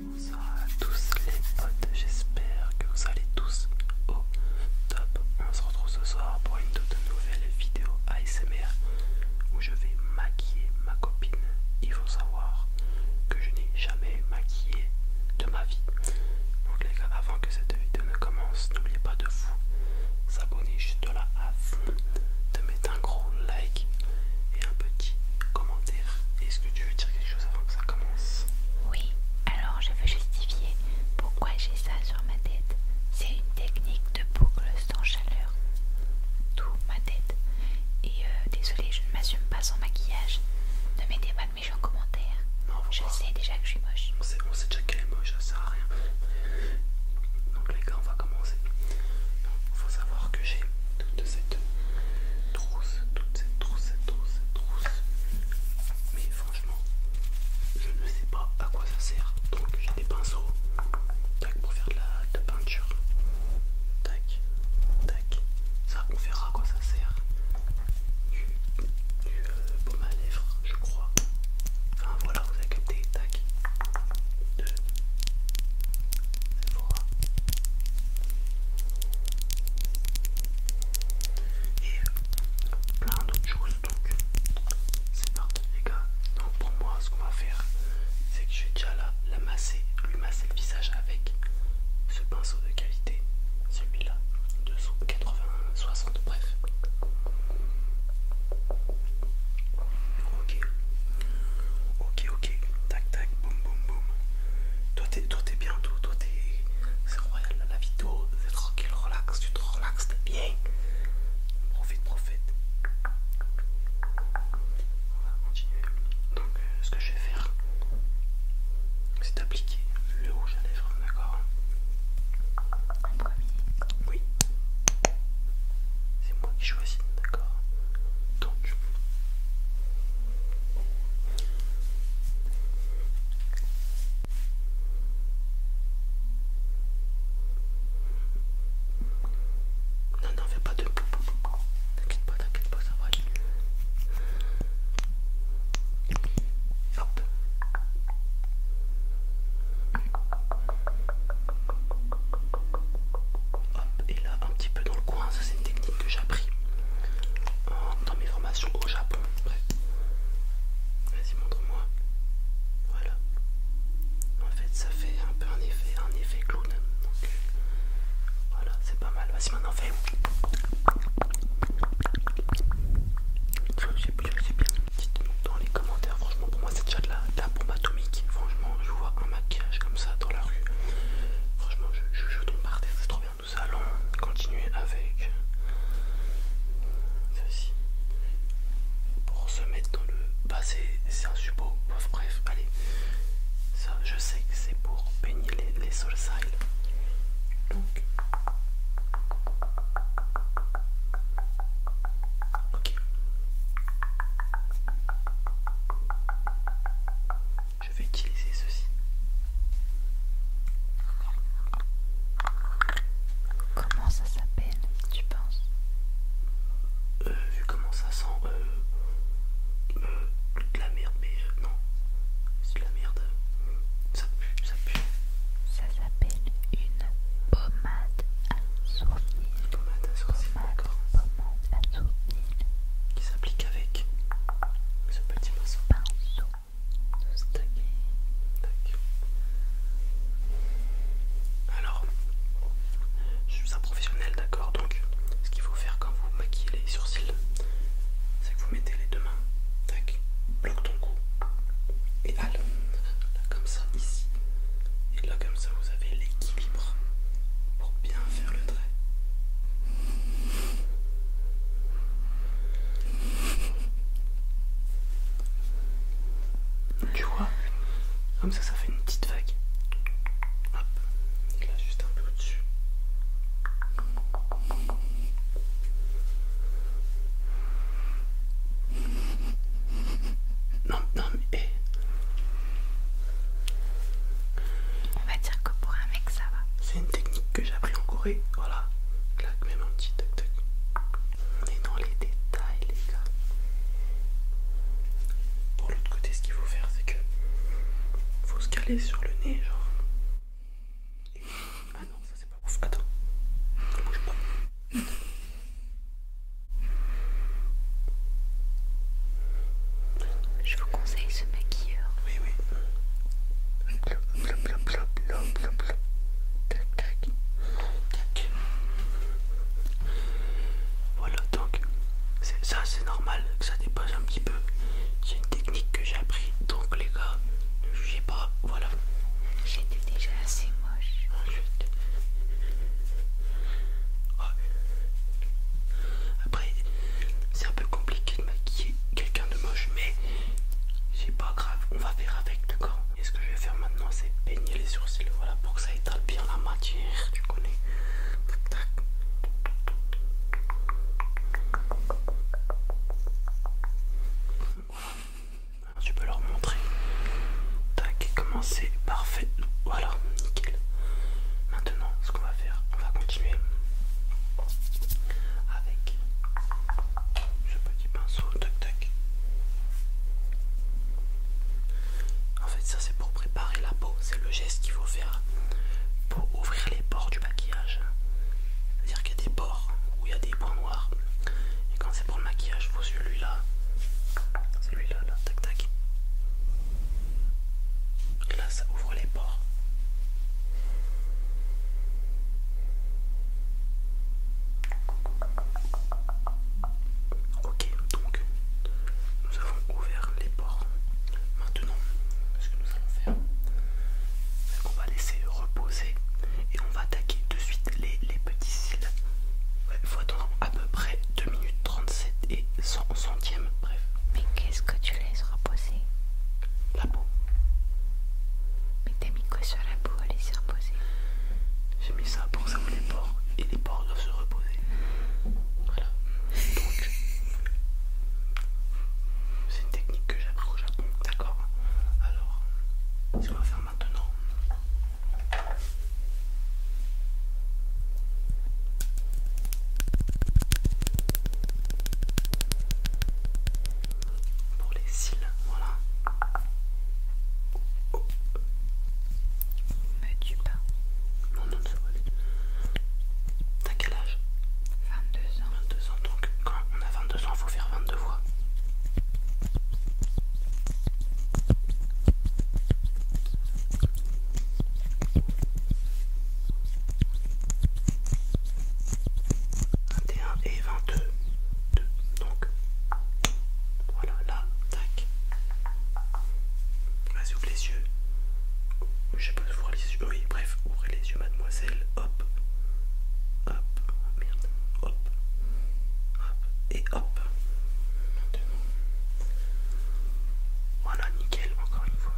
Bonsoir à tous les potes, j'espère que vous allez tous au top. On se retrouve ce soir pour une toute nouvelle vidéo ASMR où je vais maquiller ma copine. Il faut savoir que je n'ai jamais maquillé de ma vie. Donc les gars, avant que cette vidéo ne commence, n'oubliez pas de vous abonner juste là à fond, un gros like et un petit commentaire. Est-ce que tu veux dire quelque chose avant que ça commence Oui, alors je veux justifier pourquoi j'ai ça sur ma tête. C'est une technique de boucle sans chaleur. Tout ma tête. Et euh, désolé, je ne m'assume pas sans maquillage. Ne mettez pas de méchants commentaires. Non, je sais déjà que je suis moche. On on sait déjà qu'elle est moche, ça sert à rien. Donc les gars, on va commencer. Il faut savoir que j'ai toute cette trousse, toute cette trousse, cette trousse, cette trousse. Mais franchement, je ne sais pas à quoi ça sert. Donc j'ai des pinceaux, tac, pour faire de la, peinture. Tac, tac. Ça, on verra à quoi ça sert. Du, du euh, à lèvres, je crois. Enfin voilà, vous avez capté, tac. De Sephora. Et euh, plein d'autres choses, donc c'est parti les gars. Donc pour moi, ce qu'on va faire, c'est que je vais déjà la, masser, lui masser le visage avec ce pinceau de qualité, celui-là, de 80-60, bref. Ok, ok, ok, tac tac, boum boum boum. Toi t'es bien, toi, toi t'es. C'est royal la vidéo, c'est tranquille, relax, tu te relaxes, t'es bien. Profite, profite. On va continuer. Donc, euh, ce que je vais faire, c'est appliquer le rouge à lèvres, d'accord Oui. C'est moi qui choisis, d'accord Donc, non, non, fais pas de. T'inquiète pas, t'inquiète pas, ça va aller. Hop et là, un petit peu dans le coin. Ça, c'est une technique que j'ai appris hein, dans mes formations au Japon. Vas-y, montre-moi. Voilà. En fait, ça fait un peu un effet, un effet clown. Donc, voilà, c'est pas mal. Vas-y, maintenant, fais. C'est bien. Dites-nous dans les commentaires, franchement pour moi cette déjà là la, bombe atomique. Franchement, je vois un maquillage comme ça dans la rue. Franchement, je, tombe par terre, c'est trop bien. Nous allons continuer avec ceci. Pour se mettre dans le passé, c'est un suppôt. Bref, allez. Ça, je sais que c'est pour peigner les, les Donc, ok, je vais utiliser ceci. Comment ça s'appelle, tu penses euh, Vu comment ça sent, euh, euh de la merde, mais euh, non, c'est de la merde. Ça pue, ça pue. Ça s'appelle une pommade à sourire une pommade à sourcils, Qui s'applique avec ce petit morceau Alors, je suis un professionnel, d'accord. Donc, ce qu'il faut faire quand vous maquillez les sourcils, c'est que vous mettez les deux mains, tac, bloque ton cou et hal, comme ça, ici. Et là comme ça vous avez l'équilibre pour bien faire le trait. Tu vois Comme ça ça fait une petite vague. Hop. Et là juste un peu au-dessus. Non, non, mais. Eh. On va dire que pour un mec, ça va. C'est une technique que j'ai appris en Corée. Voilà. Clac, même un petit tac-tac. On est dans les détails, les gars. Pour l'autre côté, ce qu'il faut faire, c'est que. Faut se caler sur le nez, genre. Ah non, ça c'est pas ouf. Attends. Bouge pas. Je vous conseille ce maquilleur. Oui, oui. Voilà, donc, ça c'est normal que ça dépasse un petit peu. C'est une technique que j'ai appris, donc les gars, ne jugez pas, voilà. J'étais déjà assez ah. Après, c'est un peu compliqué de maquiller quelqu'un de moche, mais c'est pas grave, on va faire avec, d'accord Et ce que je vais faire maintenant, c'est peigner les sourcils, voilà, pour que ça étale bien la matière, tu connais. Tu peux leur montrer. Tac, comment c'est parfait. Voilà, nickel. Maintenant, ce qu'on va faire, on va continuer avec ce petit pinceau. Tac, tac. En fait, ça c'est pour préparer la peau. C'est le geste qu'il faut faire pour ouvrir les bords du maquillage. C'est-à-dire qu'il y a des bords où il y a des points et quand c'est pour le maquillage, vos celui-là. Celui-là, là, tac tac. Et là, ça ouvre les pores. Ok, donc nous avons ouvert les ports. Maintenant, ce que nous allons faire, c'est qu'on va laisser reposer et on va attaquer de suite les, les Petit là, faut attendre à peu près 2 minutes 37 et 100 centièmes, bref. Mais qu'est-ce que tu laisses reposer La peau. Mais t'as mis quoi sur la peau à laisser reposer J'ai mis ça pour ça les pores et les pores doivent se reposer. Voilà. Donc, c'est une technique que j'ai appris au Japon, d'accord Alors, ce qu'on va faire maintenant, pour les cils, voilà. Oh. tue pas. Non, T'as quel âge 22 ans. 22 ans, donc quand on a 22 ans, il faut faire 22 voix. 21 et 22 2. donc voilà là tac vas-y ouvre les yeux je sais pas ouvrir les yeux oui bref ouvrez les yeux mademoiselle hop hop merde hop, et hop. Maintenant. Voilà, nickel, encore une fois.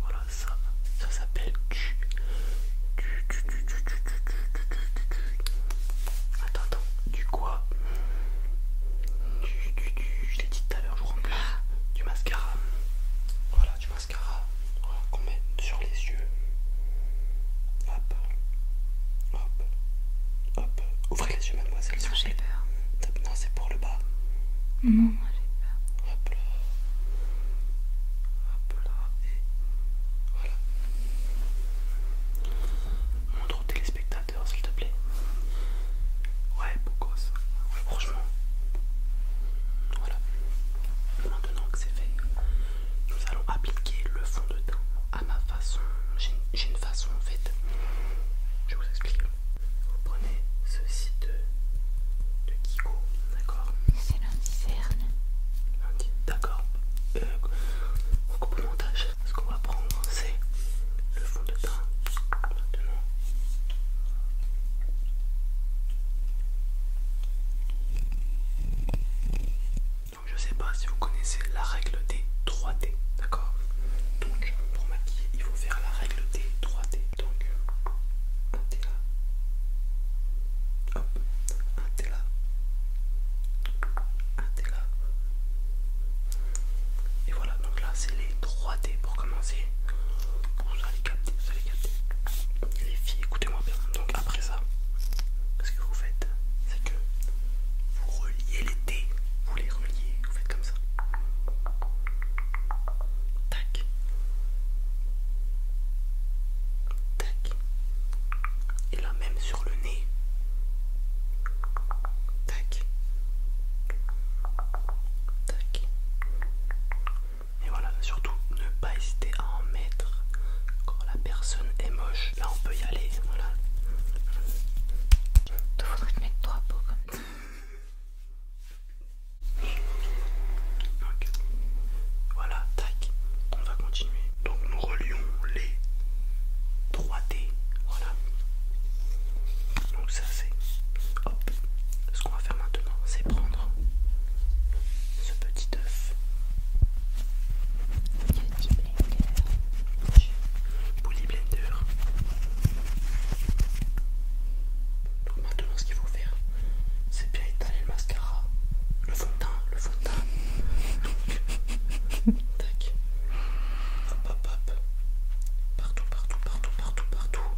Voilà, ça, ça s'appelle du, attends, attends, du quoi Du, je l'ai dit tout à l'heure, je vous remplis, du mascara, voilà, du mascara, qu'on met sur les yeux, hop, hop, hop, ouvrez les yeux mademoiselle, non c'est pour le bas, non j'ai peur, Hop là. Hop là. Et voilà. Montre au téléspectateurs, s'il te plaît. Ouais, beaucoup franchement. Voilà. Maintenant que c'est fait, nous allons appliquer le fond de teint à ma façon. J'ai une façon en fait. Je vous explique. Vous prenez ceci de, de Kiko. D'accord. C'est lundi, Lundi, d'accord. Euh, coupe montage. Ce qu'on va prendre, c'est le fond de teint. Donc je sais pas si vous connaissez la règle des 3D, d'accord Donc pour maquiller, il faut faire la règle des 3D donc un là, hop, un là, un là, et voilà. Donc là, c'est les 3D pour commencer. Vous allez capter, vous allez capter. Les filles, écoutez-moi bien. Donc après ça, ce que vous faites, c'est que vous reliez les T vous les reliez, vous faites comme ça. Tac. Tac. Et là même sur le nez. Tac. Tac. Et voilà, surtout ne pas hésiter à en mettre quand la personne est moche. Là on peut y aller, voilà. faudrait mettre trois peaux comme ça. Voilà, tac, on va continuer. Donc nous relions les 3D. Voilà. Donc ça c'est... Hop. Ce qu'on va faire maintenant, c'est prendre ce petit œuf. Petit blender. Bully blender. Donc maintenant ce qu'il faut faire, c'est bien étaler le mascara, le fond le fond Tac. Hop hop Partout, partout, partout, partout, partout.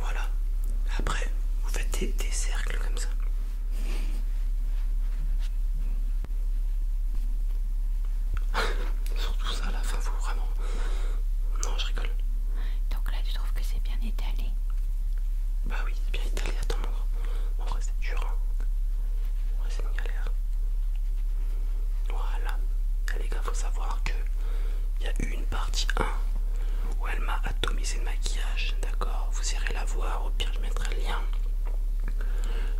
Voilà. Après, vous faites des, cercles comme ça. Surtout ça la fin, faut vraiment. Non, je rigole. Donc là, tu trouves que c'est bien étalé Bah oui, c'est bien étalé. Attends, mon En vrai, c'est dur. En hein. vrai, c'est une galère. Voilà. Eh, les gars, faut savoir que il y a une partie 1 où elle m'a atomisé le maquillage, d'accord Vous irez la voir, au pire je mettrai le lien.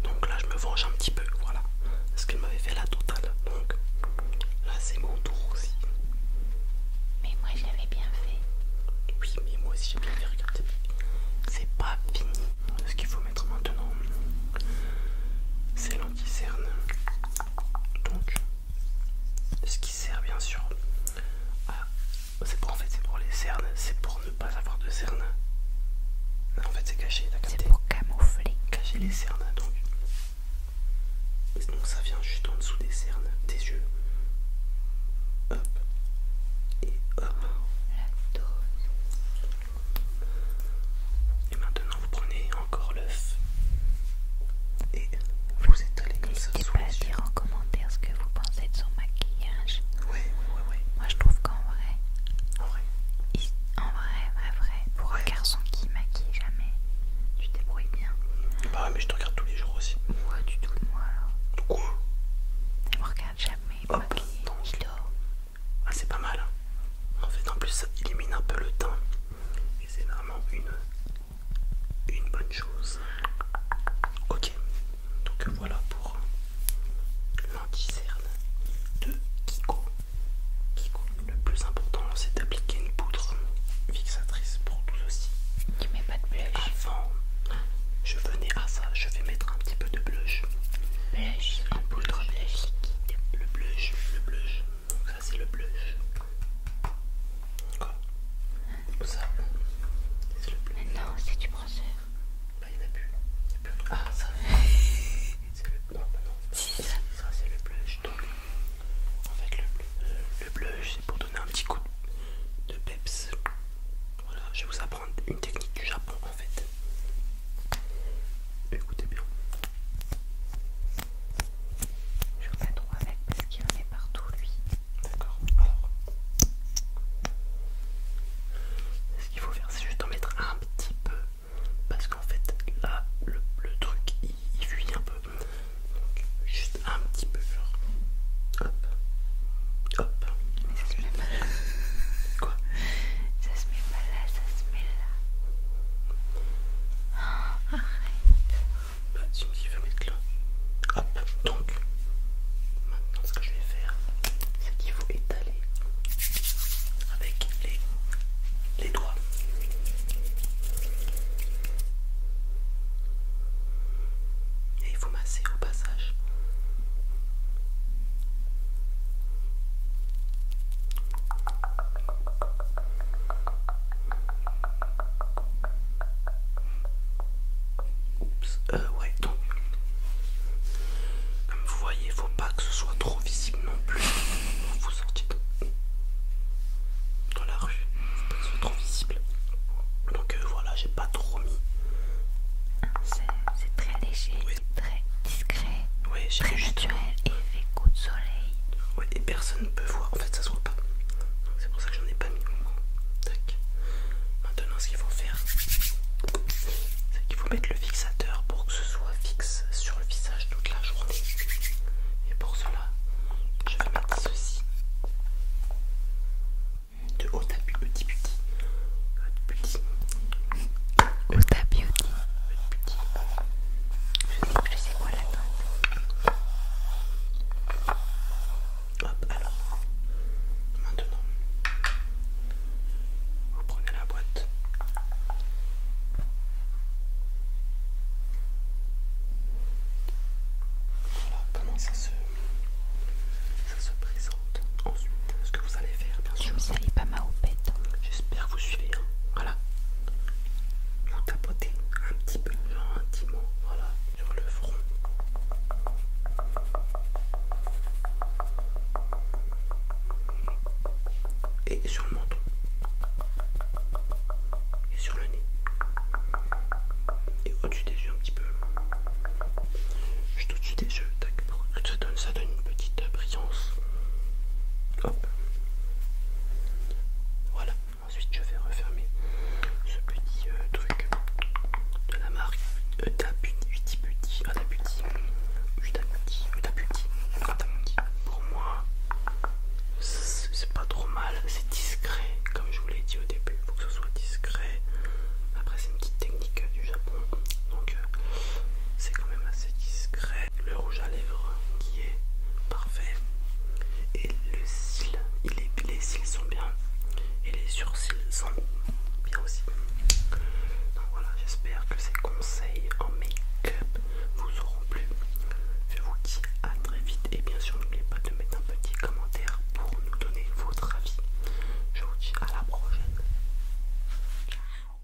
Donc là je me venge un petit peu, voilà. ce qu'elle m'avait fait la totale. Donc là c'est mon tour aussi. Mais moi je l'avais bien fait. Oui mais moi aussi j'ai bien fait, regardez. C'est pas fini. Ce qu'il faut mettre maintenant, c'est lanti donc ce qui sert bien sûr c'est pour en fait c'est pour les cernes c'est pour ne pas avoir de cernes en fait c'est caché c'est pour camoufler cacher les cernes donc donc ça vient juste en dessous des cernes des yeux hop et hop La dose. Et maintenant, vous prenez encore l'œuf et vous étalez comme ça. N'hésitez pas dire en commentaire ce que vous pensez de son maquillage. Oui, oui, oui. Moi, je trouve qu'en vrai, en vrai, en vrai, vrai, vrai, pour un garçon qui maquille jamais, tu débrouilles bien. Bah ouais, mais je te regarde tous les jours aussi. Ouais, tu tout, de moi alors. De quoi me regarde jamais oh, bah, Ah, c'est pas mal. Hein. En fait, en plus, ça élimine un peu le teint et c'est vraiment une, une bonne chose. Ok, donc voilà pour l'anti-cerne de Kiko. Kiko. Le plus important, c'est d'appliquer une poudre fixatrice pour tout ceci. Tu mets pas de blush Avant, je venais à ça, je vais mettre un petit peu de blush. Blush, poudre blush. Le blush, le blush, ça c'est le blush. Quoi Ça c'est le blush. non, c'est du brosseur. Bah il a plus. Ah ça c'est le... Ça, c'est le blush. en fait le, le, blush c'est pour donner un petit coup de peps. Voilà, je vais vous apprendre une technique du Japon en fait. Écoutez bien. Je vais pas trop avec parce qu'il en est partout lui. D'accord. Alors, ce qu'il faut faire, c'est juste en mettre un petit peu parce qu'en fait là, le, truc il, fuit un peu. Donc juste un petit peu. Genre. Hop. Hop. Mais ça se met pas là. Quoi Ça se met pas là, ça se met là arrête. tu me dis, mettre là. donc. Maintenant, ce que je vais faire, c'est qu'il faut étaler avec les, les doigts. Et il faut masser au passage. Oups, euh, ouais, donc. Comme vous voyez, faut pas que ce soit trop visible non plus. Vous sortez dans la rue, faut pas que ce soit trop visible. Donc euh, voilà, j'ai pas trop mis. C'est très léger. Très discret. très naturel et coup de soleil. Ouais, et personne ne peut voir. En fait, ça se voit pas. C'est pour ça que j'en ai pas mis. Tac. Maintenant, ce qu'il faut faire, c'est qu'il faut mettre le fixateur pour que ce soit fixe sur le visage toute la journée. Et pour cela, je vais mettre ceci de haut à petit petit le ta Je sais quoi la Hop, alors. Maintenant, vous prenez la boîte. Voilà comment ça se, présente. Ensuite, ce que vous allez faire, bien sûr. Je vous salis pas ma hein. J'espère que vous suivez. Hein. Voilà, on Vous un petit peu lentement, voilà, sur le front. Et sur le menton. Et sur le nez. Et au-dessus des yeux un petit peu. Juste au-dessus des yeux, ça donne, ça donne une petite brillance. Hop. Voilà, ensuite je vais refermer ce petit euh, truc de la marque adaputi, Pour moi, c'est pas trop mal, c'est discret comme je vous l'ai dit au début. Il faut que ce soit discret. Après, c'est une petite technique du Japon donc euh, c'est quand même assez discret le rouge à lèvres qui est parfait, et le cil, les cils sont bien, et les surcils sont bien aussi. Donc voilà, j'espère que ces conseils en make-up vous auront plu. Je vous dis à très vite, et bien sûr, n'oubliez pas de mettre un petit commentaire pour nous donner votre avis. Je vous dis à la prochaine. Ciao